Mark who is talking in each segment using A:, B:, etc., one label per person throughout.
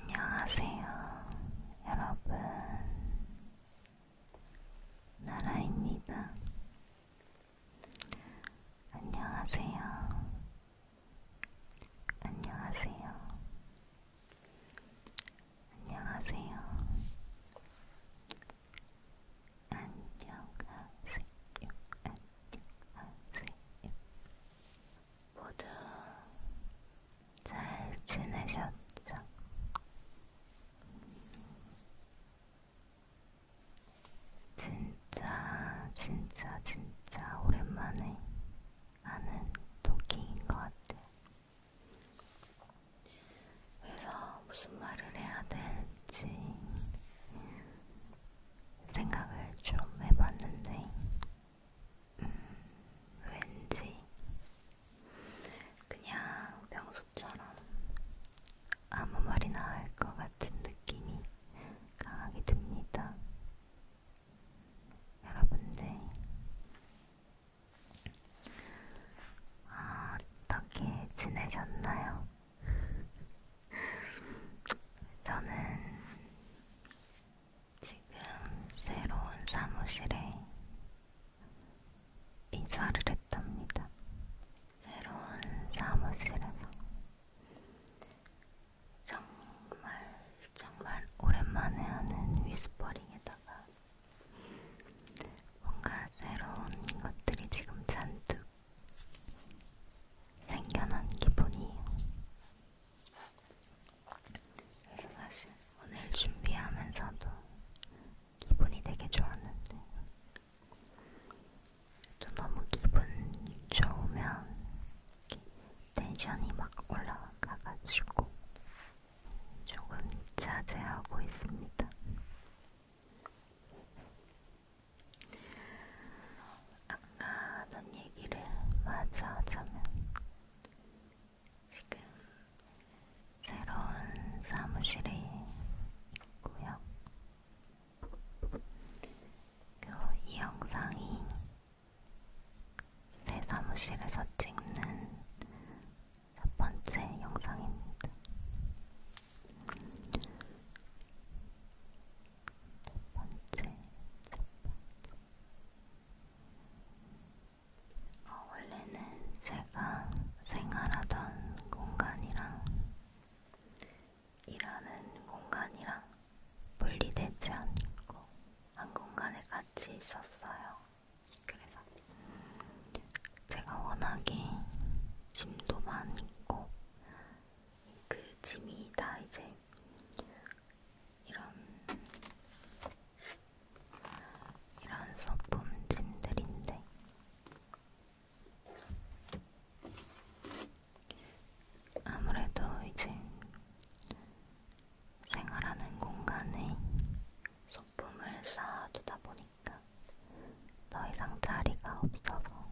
A: 안녕하세요, 여러분. 나라입니다. 안녕하세요. 안녕하세요. 안녕하세요. 안녕하세요. 안녕하세요. 모두 잘 지내셨죠? 진짜 진짜 진짜 오랜만에 하는 토끼인 것 같아요. 그래서 무슨 말을 해야 될지 생각을 좀 해봤는데, 음, 왠지 그냥 평소처럼 아무 말이나 할 것 같은 느낌이 강하게 듭니다. 여러분들, 아, 어떻게 지내셨나요? 저는 지금 새로운 사무실에 이사를 했답니다. 새로운 사무실에서 정말 정말 오랜만에 하는 위스퍼링에다가 뭔가 새로운 것들이 지금 잔뜩 생겨난 기분이에요. 그래서 사실 오늘 준비하면서도 기분이 되게 좋았는데 또 너무 기분 좋으면 텐션이 막 올라가가지고 조금 자제하고 있습니다. 아까 하던 얘기를 마저 하자면 지금 새로운 사무실에 있고요. 그리고 이 영상이 새 사무실에서 찍는 첫 번째 영상입니다. 첫 번째, 첫 번째. 어, 원래는 제가 생활하던 공간이랑 일하는 공간이랑 분리되지 않고 한 공간에 같이 있었어요. 그래서 제가 워낙에 짐도 많이 있고 그 짐이 다 이제 이런 이런 소품 짐들인데 아무래도 이제 생활하는 공간에 소품을 쌓아두다 보니까 있으니까 더 이상 자리가 없어서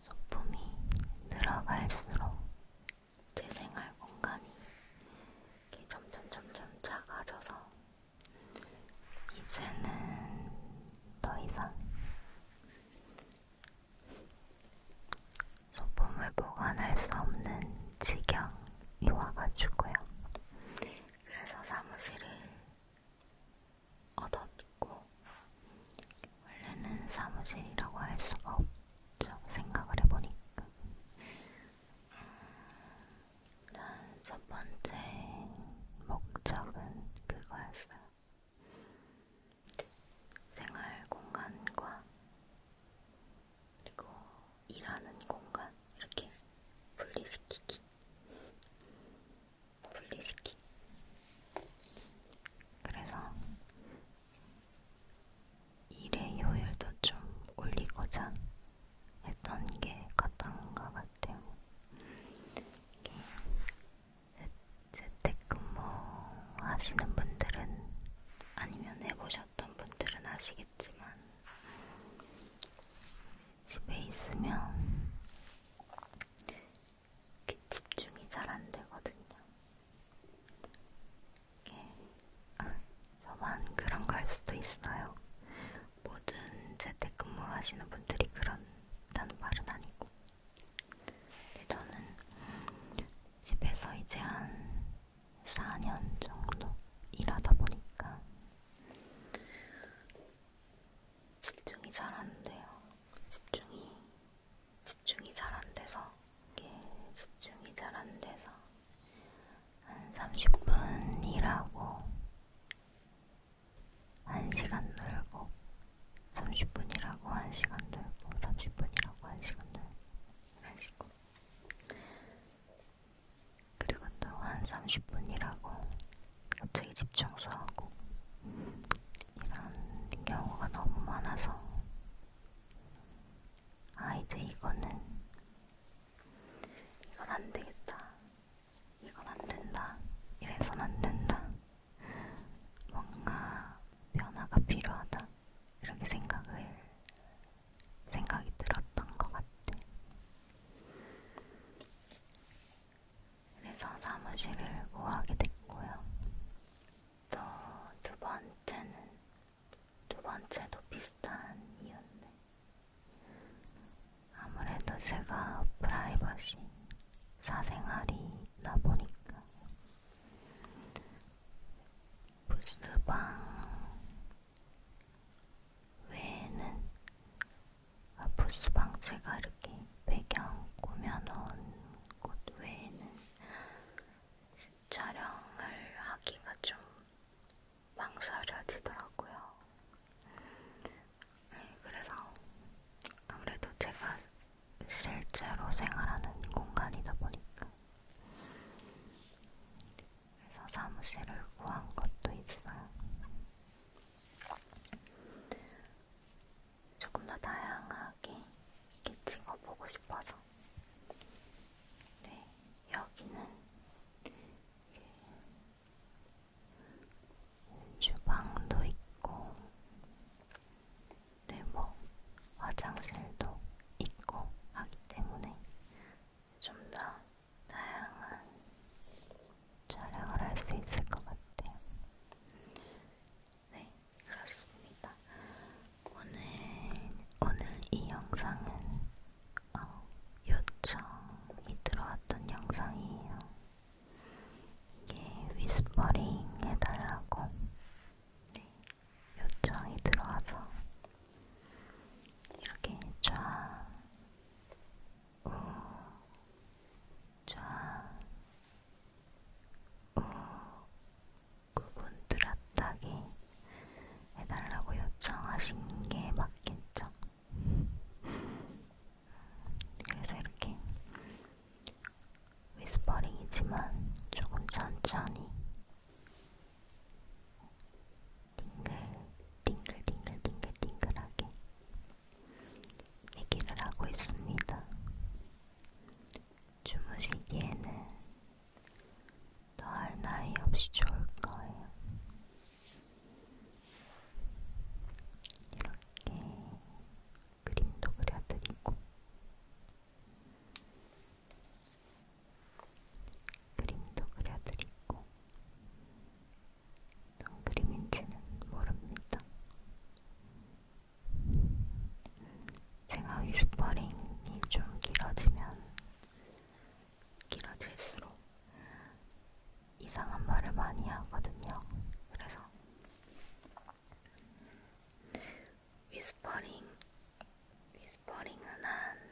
A: 소품이 늘어갈수록 제 생활 공간이 이렇게 점점 점점 작아져서 이제는 더 이상 소품을 보관할 수 없는 지경이 와가지고요. 그래서 사무실을 얻었고 원래는 사무실이라고 할 수가 없죠. 생각을 해보니까 난 음, 첫 번째 목적은 그거였어요. 생활 공간과 그리고 일하는 공간 이렇게 분리시키기. 분리시키. 그래서 일의 효율도 좀 올리고자 했던 게 컸던 것 같아요. 재택근무 하시는 분들은 아니면 해보셨던 분들은 아시겠지만 집에 있으면 이렇게 집중이 잘 안 되거든요. 이게 아, 저만 그런 걸 수도 있어요. 모든 재택근무 하시는 분들이 그런다는 말은 아니고. 근데 저는 집에서 이제 한 4년 정도 일하다 보니까 집중이 잘 안 돼요. 집중이 집중이 잘 안 돼서 이게 예, 집중이 잘 안 돼서 한 30분 일하고 1시간 놀고 30분 일하고 1시간 놀고 30분 일하고 1시간 놀고 이런 식으로 그리고 또 한 30분 일하고 갑자기 집 청소하고 이런 경우가 너무 많아서 아 이제 이거는 이건 안되겠다 이건 안된다 이래선 안된다 뭔가 변화가 필요하다 이렇게 생각을 생각이 들었던 것 같아 그래서 사무실을 구하게 됐고요. 또 두 번째는 두 번째도 비슷한 이유인데 아무래도 제가 프라이버시 사생활이 있다 보니까 부스방 외에는 부스방체가 이렇게 배경 꾸며놓은 곳 외에는 촬영을 하기가 좀 망설여지더라고요. 네, 그래서 아무래도 제가 실제로 생활하는 공간이다 보니까 그래서 사무실을 구한 것도 있어요. 조금 더 다양하게 찍어보고 싶어서. 네, 여기는 주방도 있고, 네, 뭐 화장실도 있고 하기 때문에 좀더 다양한 촬영을 할 수 있을 것 같아요. 네, 그렇습니다. 오늘, 오늘 이 영상은 어, 요청이 들어왔던 영상이에요. 이게 위스퍼링 해달라고 네, 요청이 들어와서 이렇게 쫙 그분 들었다기 해달라고 요청하신 게 맞겠죠? 그래서 이렇게 위스퍼링이지만 조금 천천히 띵글 띵글 띵글 띵글하게 얘기를 하고 있습니다. 주무시기에는 더할 나위 없이 좋을 거예요. 이렇게 그림도 그려드리고 그림도 그려드리고 어떤 그림인지는 모릅니다. 제가 위스퍼링이 좀 길어지면 길어질수록 이상한 말을 많이 하거든요. 그래서 위스퍼링, 위스퍼링은 한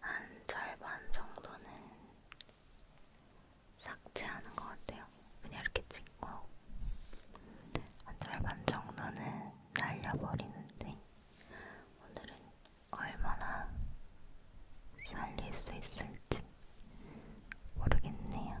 A: 한 절반 정도는 삭제하는 것 같아요. 그냥 이렇게 찍고 한 절반 정도는 날려버리는데 오늘은 얼마나 살릴 수 있을지 모르겠네요.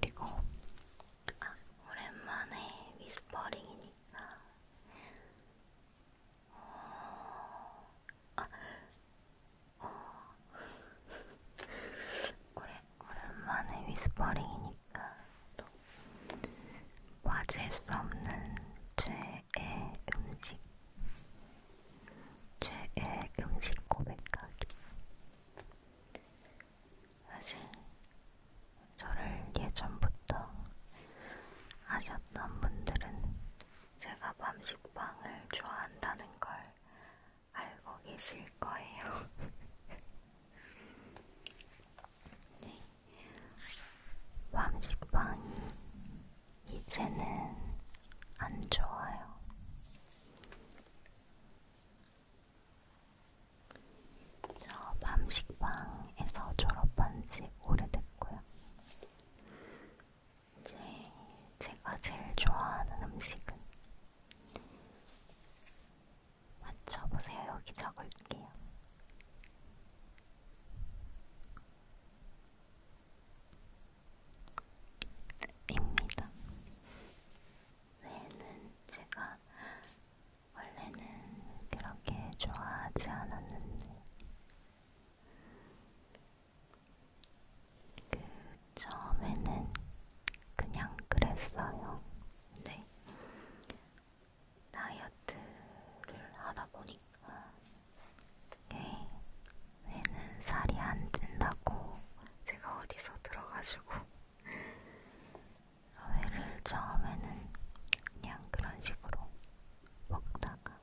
A: 그리고 아, 오랜만에 위스퍼링이니까 어... 아, 어... 오래, 오랜만에 위스퍼링이니까 또 빠질 수 없는 최애 음식 최애 음식 고백하기 사실 저를 예전부터 아셨던 분들은 제가 밤식빵을 좋아한다는 걸 알고 계실 거예요. 네. 밤식빵이 이제는 안 좋아요. 저 밤식빵에서 졸업한 지 오래됐고요. 이제 제가 제일 좋아하는 음식은 맞춰보세요. 여기 적을게요. 입니다. 외에는 제가 원래는 그렇게 좋아하지 않았는데 그 처음에는 그냥 그랬어요. 근데 다이어트를 하다 보니까 예, 회는 살이 안 찐다고 제가 어디서 들어가지고 회를 처음에는 그냥 그런 식으로 먹다가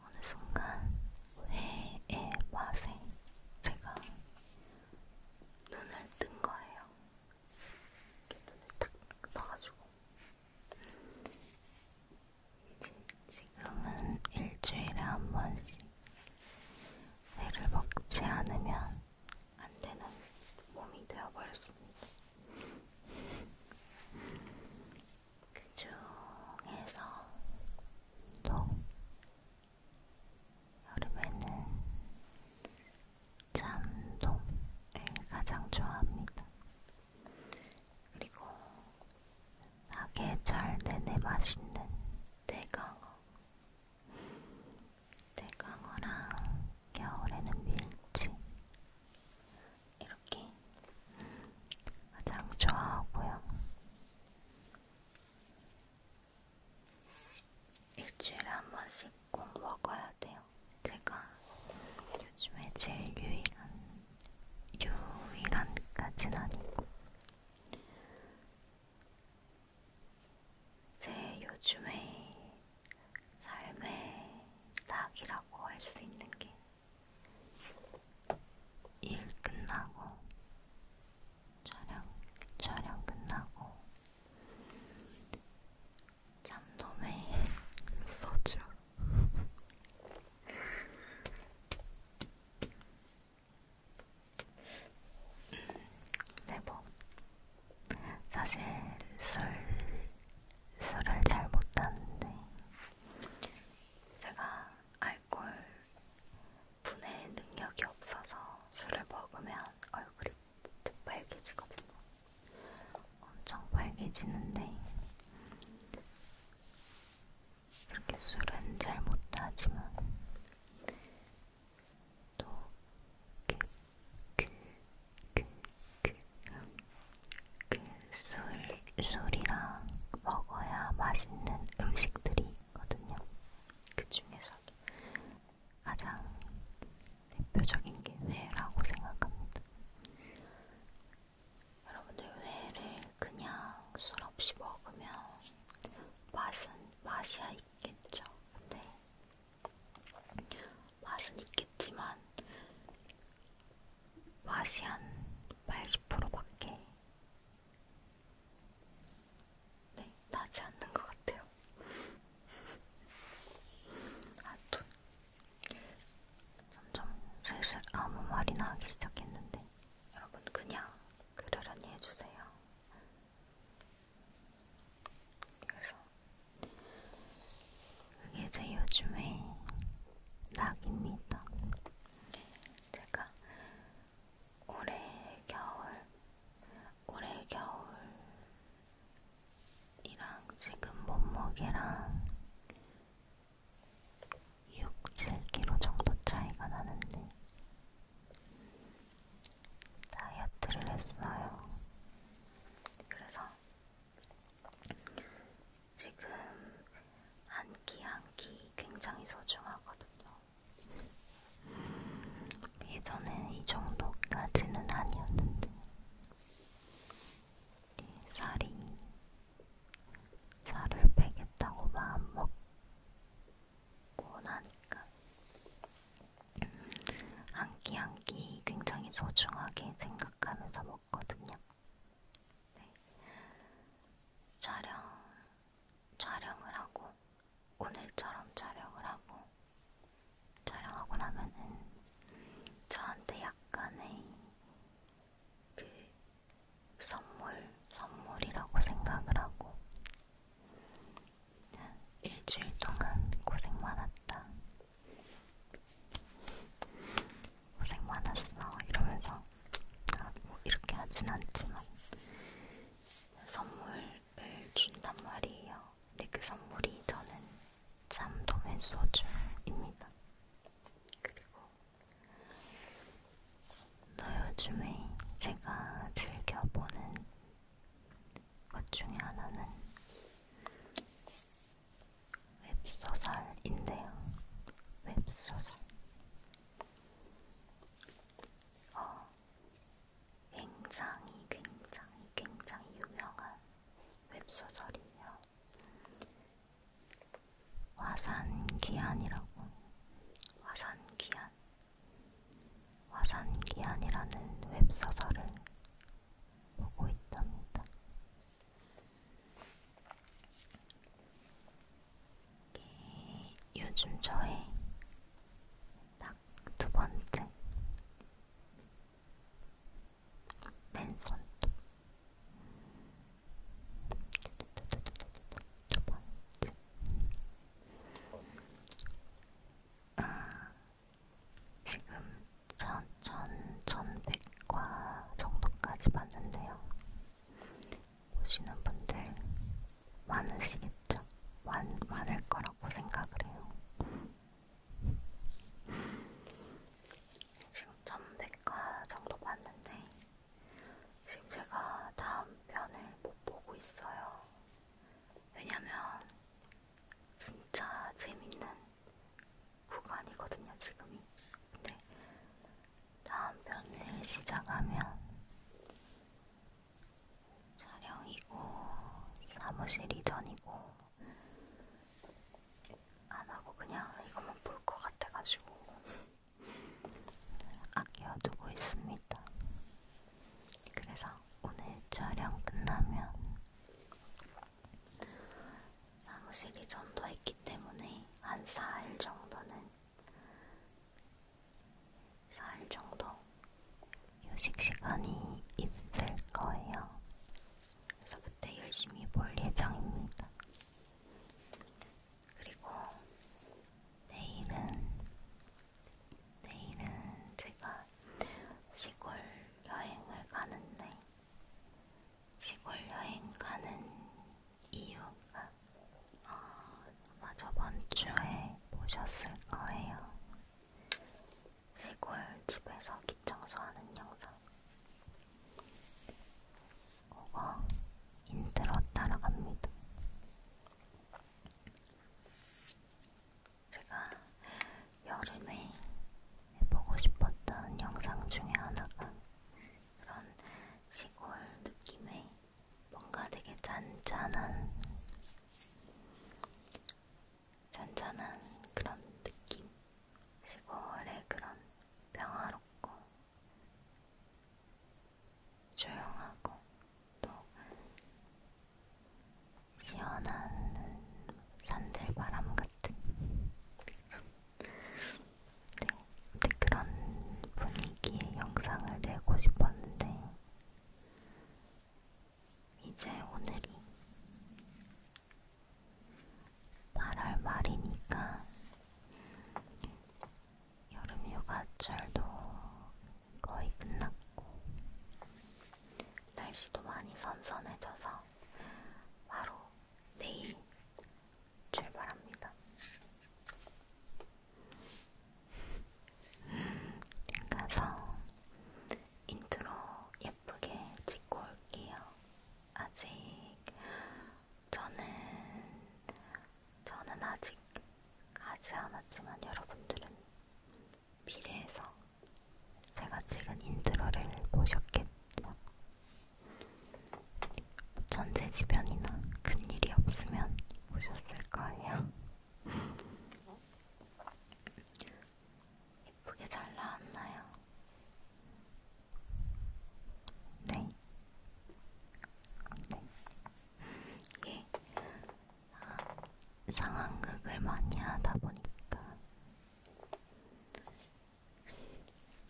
A: 어느 순간 회의 맛에 제가 눈을 뜬 거예요. 이렇게 눈을 딱 떠가지고 지금은 일주일에 한 번씩 회를 먹지 않으면 안 되는 몸이 되어버렸습니다. 그 중에서 또 여름에는 잠동을 가장 좋아합니다. 그리고 사계절 내내 맛있는 대강어 대강어랑 겨울에는 밀치 이렇게 음, 가장 좋아하고요. 일주일에 한 번씩 꼭 먹어야 돼요. 제가 요즘에 제일 유일한 유일한까진 아니고 제 요즘의 삶의 낙이라고 할 수 있는 게 일 끝나고 촬영 촬영 끝나고 잠도 매일 소주 네, 뭐 사실 술 술을 잘 못하는데 제가 알코올 분해 능력이 없어서 술을 먹으면 얼굴이 빨개지거든요. 엄청 빨개지는데 이렇게 술은 잘 못하지만 또그그그그술 그, 그, 그, 그 술이랑 먹어야 맛있는 음식들이 있거든요. 그 중에서도 가장 대표적인 게 회라고 생각합니다. 여러분들 회를 그냥 술 없이 먹으면 맛은 맛이 있겠죠. 근데 맛은 있겠지만 맛이 한 80%밖에 네, 나지 않는 것 같아요. 아, 또 점점 슬슬 아무 말이나 하기 시작했는데 여러분 그냥 그러려니 해주세요. 그래서 그게 제 요즘의 낙입니다. 네, 제가 올해 겨울, 올해 겨울이랑 지금 몸무게랑 6, 7kg 정도 차이가 나는데 다이어트를 했어요. 그래서 지금 한 끼 한 끼 굉장히 소중하거든요. 예전엔 이 정도까지는 아니었는데 살이 살을 빼겠다고 마음먹고 나니까 한 끼 한 끼 굉장히 소중하게 생각하면서 먹거든요. 네. 촬영, 촬영을 하고 오늘처럼 촬영을 하고 촬영하고 나면은 저한테 약간의 그 선물, 선물이라고 생각을 하고 일주일 동안 고생 많았다. 고생 많았어. 이러면서 아, 뭐 이렇게 하진 않지만 선물을 준단 말이에요. 근데 그 선물이 저는 잠도맨 소주입니다. 그리고 또 요즘에 제가 즐겨보는 것 중에 하나는 웹소설인데요. 웹소설. 어, 굉장히 굉장히 굉장히 유명한 웹소설이에요. 화산기한이라고 화산기한 화산기한이라는 웹소설을 보고 있답니다. 이게 요즘 저의 딱 두 번째 맨손톱 두 번째. 아, 지금 천, 천, 천백과 정도까지 봤는데요. 보시는 분들 많으시겠죠? 많, 많을 거라고 생각을 해요. 지금 전백과 네 정도 봤는데 지금 제가 다음 편을 못 보고 있어요. 왜냐면 진짜 재밌는 구간이거든요, 지금이. 근데 다음 편을 시작하면 촬영이고 사무실 이전이고 안 하고 그냥 이것만 볼 것 같아가지고 아껴두고 있습니다. 그래서 오늘 촬영 끝나면 사무실이 전도했기 때문에 한 4일 정도는 4일 정도 휴식 시간이 있을 거예요. 그래서 그때 열심히 볼 예정입니다. 그리고 내일은 내일은 제가 시골 여행을 가는데 시골 여행 가는 이유가 어, 아마 어, 저번 주에 보셨을 거예요. 시골 집에서 기청소하는 영상 그거 인트로 따라갑니다. 제가 여름에 해보고 싶었던 영상 중에 하나가 그런 시골 느낌의 뭔가 되게 잔잔한 잔잔한 그런 느낌 시골의 그런 평화롭고 조용하고 또 시원한 산들바람 같은 네, 그런 분위기의 영상을 내고 싶었는데 이제 오늘이 8월 말이니까 여름 휴가철도 거의 끝났고 날씨도 많이 선선해져서 바로 내일 출발합니다. 가서 인트로 예쁘게 찍고 올게요. 아직 저는 저는 아직 가지 않았지만 여러분들은 미래에서 제가 찍은 인트로를 보셨겠죠? 전제지변이나 큰일이 없으면 보셨을 거예요. 예쁘게 잘 나왔나요? 네. 네. 이게 예. 아, 상황극을 많이 하다 보니까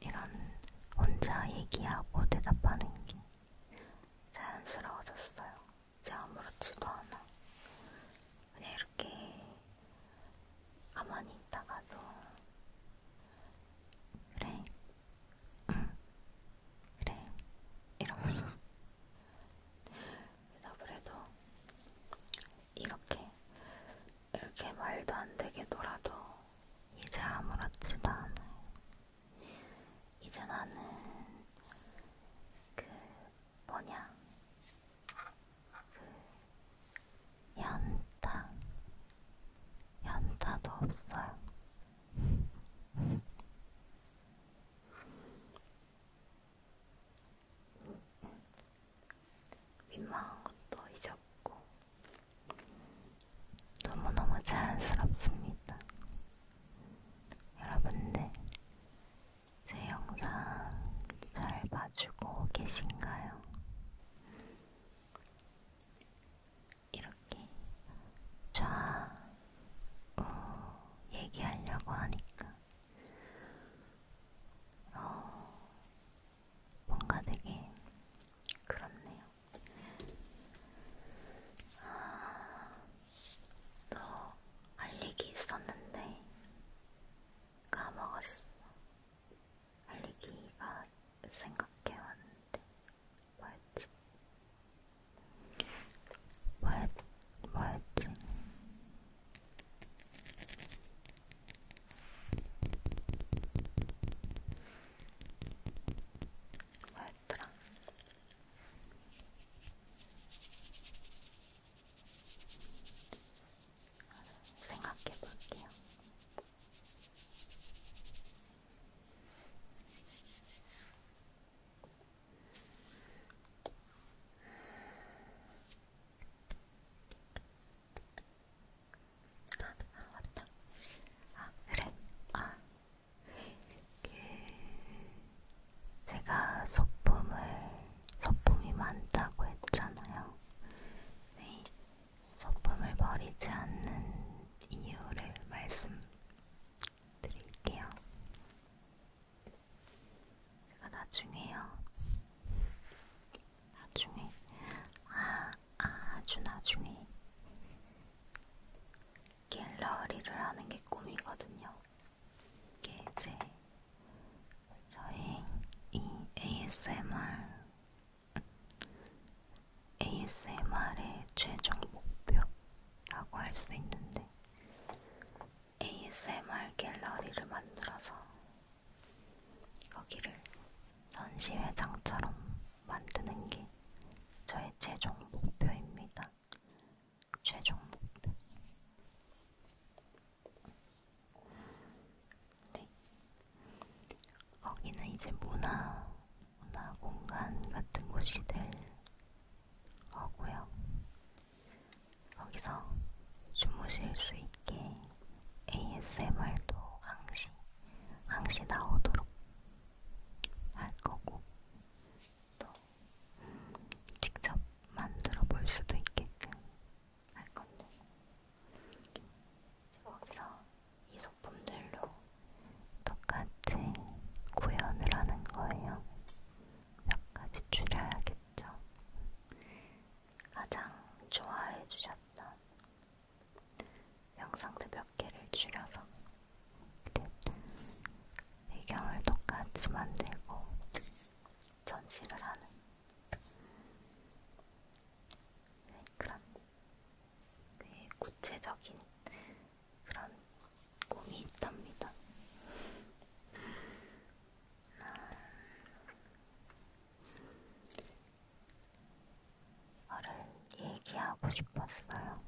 A: 이런 혼자 얘기하고 대답하는 게 자연스러워졌어요. 제 아무렇지도 않아. 그냥 이렇게 가만히 있다가도 그래, 응, 그래, 이러면서 대답을 해도 이렇게 이렇게 말도 안 되게 놀아도 이제 아무렇지도 않아요. 이제 나는 그 뭐냐 그 연타 연타도 없어요. 민망한 것도 잊었고 너무너무 자연스럽습니다. 여러분들 제 영상 잘 봐주고 계신가요? 이렇게 좌우 얘기하려고 하니까 어, 뭔가 되게 그렇네요. 아, 너 알리기 있었는데 까먹었어. 알리기가 생각해왔는데 뭐였지? 뭐였, 뭐였지? 뭐였더라? 생각해볼게요. 아, 아 맞다. 아 그래. 아, 그 제가 소품을 소품이 많다고 했잖아요. 네, 소품을 버리지 않는 이유를 말씀드릴게요. 제가 나중에요. 나중에, 아, 아주 나중에 갤러리를 하는 게 꿈이거든요. 이게 이제 저의 이 ASMR ASMR의 최종 목표라고 할 수 있는데 ASMR 갤러리를 만들어서 거기를 전시회장처럼 만드는 게 저의 최종 목표입니다. 최종 목표. 네. 거기는 이제 문화, 문화 공간 같은 곳이 될 거고요. 거기서 주무실 수 있게 ASMR도 항시, 항시 나오도록 할 거고, 또 직접 만들어 볼 수도 있게끔 할 건데, 거기서 이 소품들로 똑같이 구현을 하는 거예요. 몇 가지 줄여야겠죠. 가장 좋아해 주셨던 영상도 몇 개를 줄여서 배경을 똑같이 만들고 전시를 하는 네, 그런 꽤 구체적인 그런 꿈이 있답니다. 말을 얘기하고 싶었어요.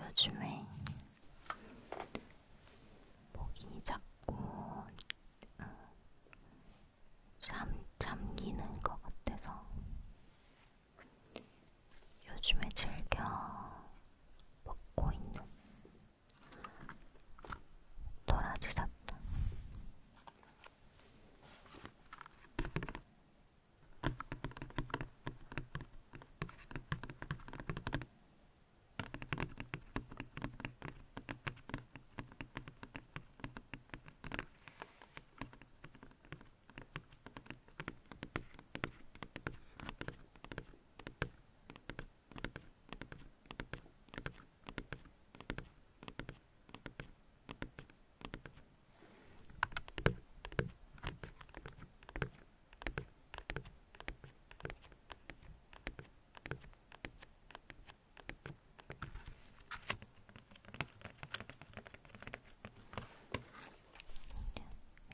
A: 요즘에 목이 자꾸 어, 잠, 잠기는 것 같아서 요즘에 즐겨 먹고 있는 돌아지셨다.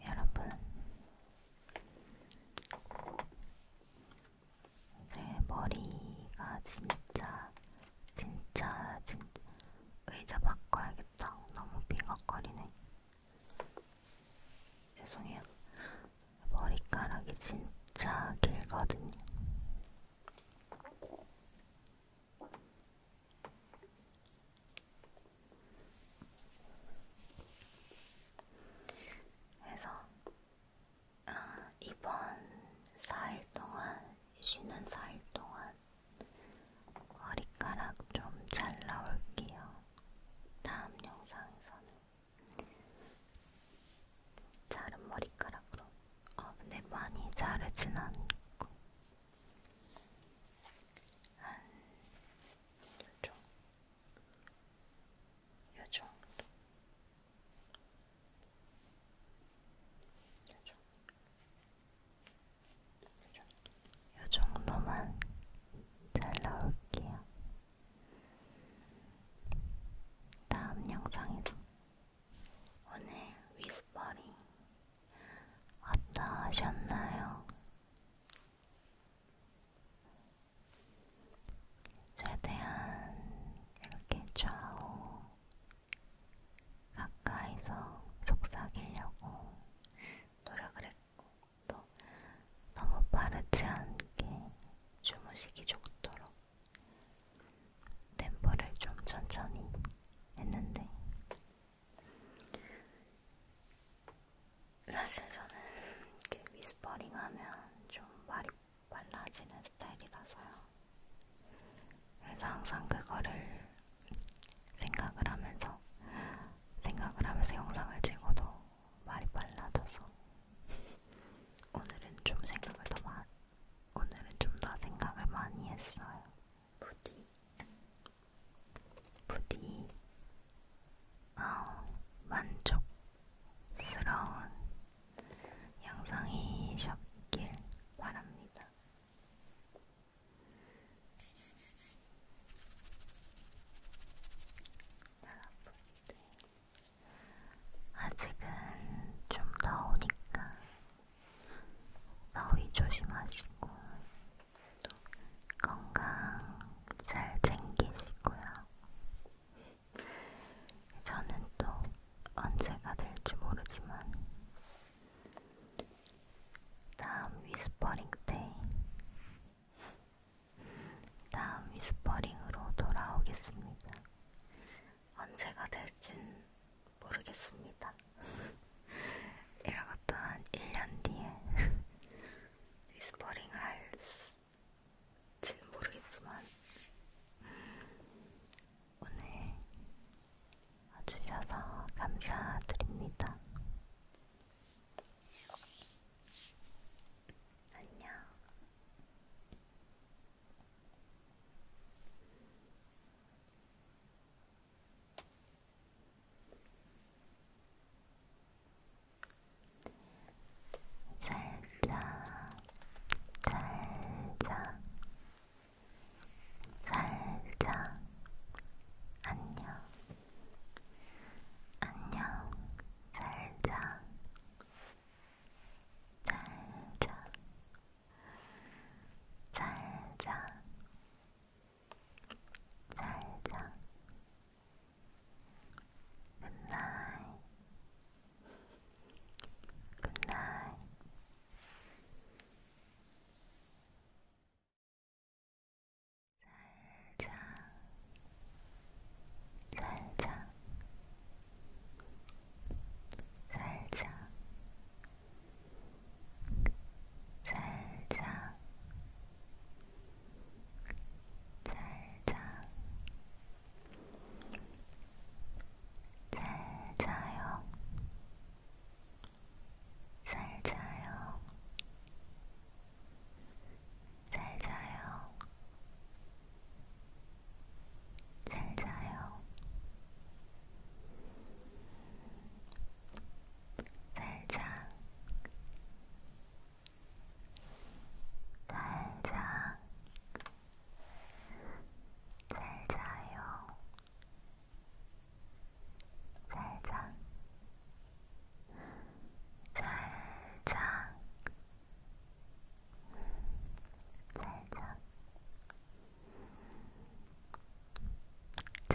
A: 여러분, 제 네, 머리가 진짜 진짜 진짜 의자 바꿔야겠다. 너무 빙걱거리네. 죄송해요. 머리카락이 진짜 길거든요. 그래서 아, 이번 4일 동안 쉬는 4일 동안 머리카락 좀 잘 나올게요. 다음 영상에서는 자른 머리카락으로. 어, 근데 많이 자르진 않고 한. 좀 요정도 요정 요정 요정도만 잘 나올게요. 다음 영상에서 오늘 위스퍼링 어떠셨나요? 최대한 이렇게 좌우 가까이서 속삭이려고 노력을 했고 또 너무 빠르지 않게 주무시기 좋도록 템포를 좀 천천히 했는데 사실 저는 이렇게 위스퍼링 하면 좀 말이 빨라지는 스타일이라서요. 그래서 항상 그거를 생각을 하면서 생각을 하면서 영상을 찍어도 말이 빨라져서 오늘은 좀 생각을 더 많이 오늘은 좀더 생각을 많이 했어요. 부디 부디 어, 만족스러운 영상이셨길 바랍니다. 여러분들, 아직은 좀 더우니까 더위 조심하시고 또 건강 잘 챙기시고요. 저는 또 언제가 될지 모르지만 다음 위스퍼링 때 다음 위스퍼링으로 돌아오겠습니다. 언제가 될진 모르겠습니다. 이러고 또한 1년 뒤에 위스퍼링을 할 될지는 모르겠지만 음, 오늘 와주셔서 감사드립니다. 안녕. 살자, 살자, 살자, 안녕, 안녕, 살자, 살자, 살자, 살자. 굿나잇 굿나잇 잘자 잘자 잘자 잘자 잘자 잘자요 잘자요 잘자요 잘자요 잘자 잘자 잘자요 잘자 잘자 잘자 잘자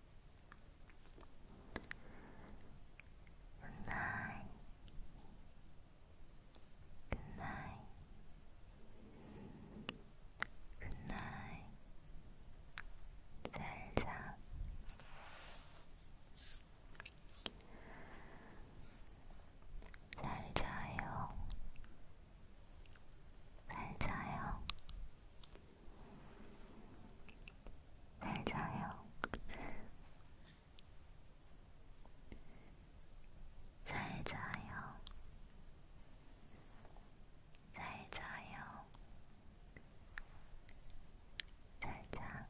A: 굿나잇 굿나잇 굿나잇 잘자 잘자요 잘자요 잘 자요. 잘 자요. 잘 자요. 잘 자.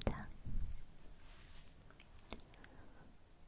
A: 잘 자.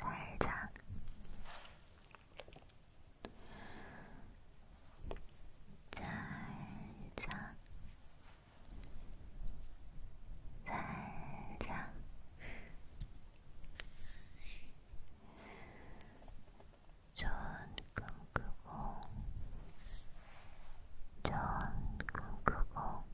A: 살짝 살짝 살짝 좋은 꿈 꾸고 좋은 꿈 꾸고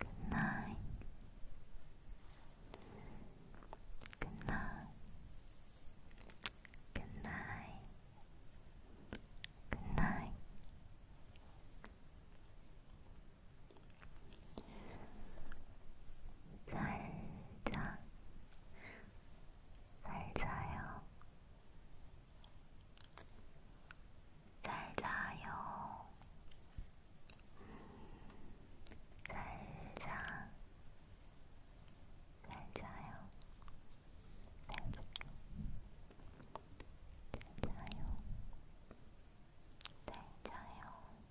A: Good night. Good night. Good night. Good night. 잘자 잘 자요. 잘 자요. 잘 자. 잘 자요. 잘 자요. 잘 자요. 잘 자요.